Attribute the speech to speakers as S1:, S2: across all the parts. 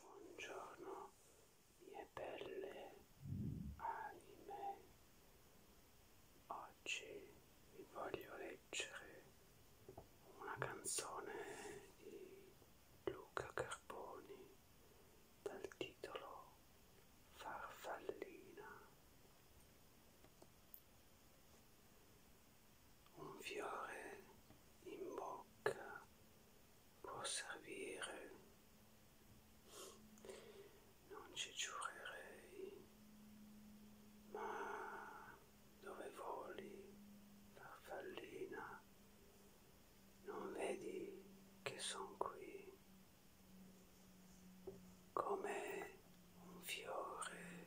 S1: Buongiorno mie belle anime, oggi vi voglio leggere una canzone di Luca Carboni dal titolo Farfallina un fiore in bocca può servire, non ci giurerei, ma dove voli, farfallina, non vedi che son qui come un fiore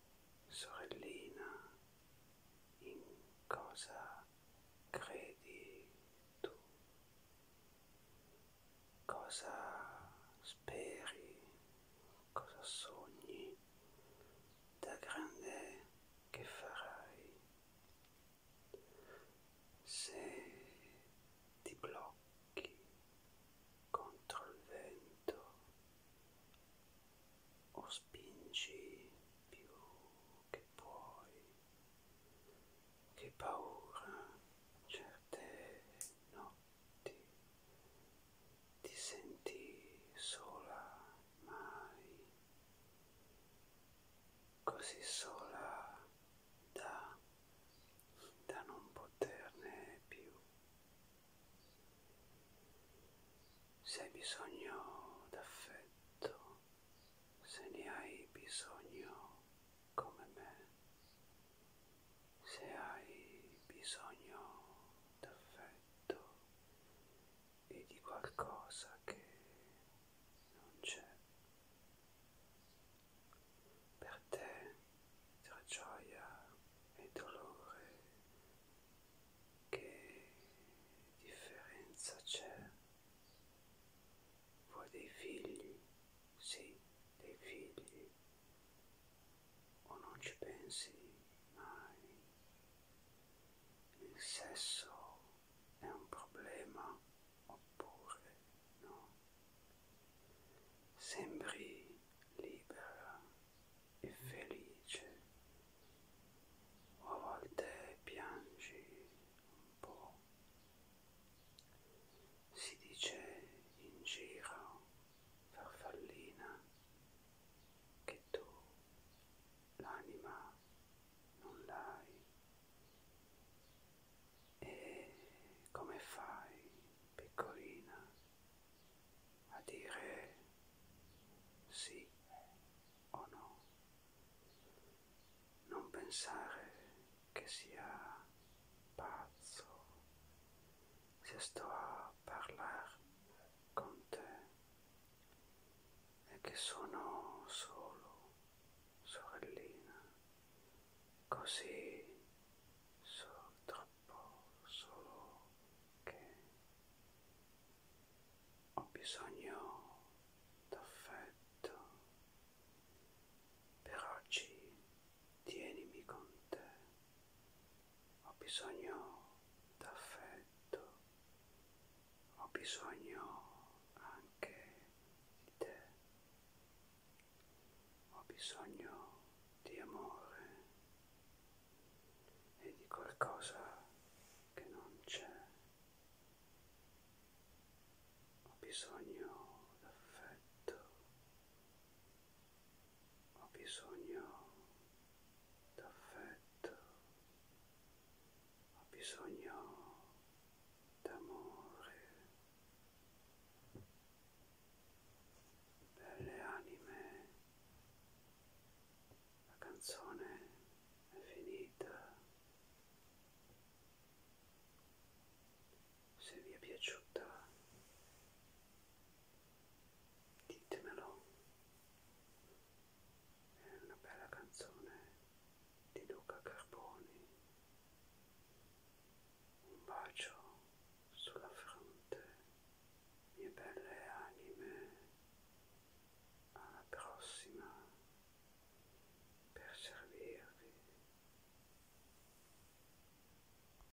S1: sorellina, in cosa credi tu? Cosa speri? Cosa sogni? Da grande che farai? Se ti blocchi contro il vento, lento o spingi più che puoi. Che paura certe notti ti senti sola mai così sola da da non poterne più. Se hai bisogno d'affetto, se ne hai bisogno come me, se hai bisogno d'affetto e di qualcosa che non c'è, per te tra gioia e dolore che differenza c'è vuoi dei figli sì dei figli o non ci pensi mai il sesso è un problema oppure no. Sembri libera e felice o a volte piangi un po'. Si dice in giro farfallina che tu l'anima non l'hai e come fai piccolina a dire sì o no non pensare che sia pazzo se sto a parlare con te e che sono solo sorellina, così so troppo solo che ho bisogno d'affetto. Per oggi tienimi con te, ho bisogno d'affetto ho bisogno anche di te, ho bisogno di amore e di qualcosa che non c'è, ho bisogno d'affetto, ho bisogno d'affetto, ha bisogno d'amore. Per le anime la canzone è finita. Se vi è piaciuta ditemelo è una bella canzone di Luca Carboni un bacio sulla fronte mie belle anime alla prossima per servirvi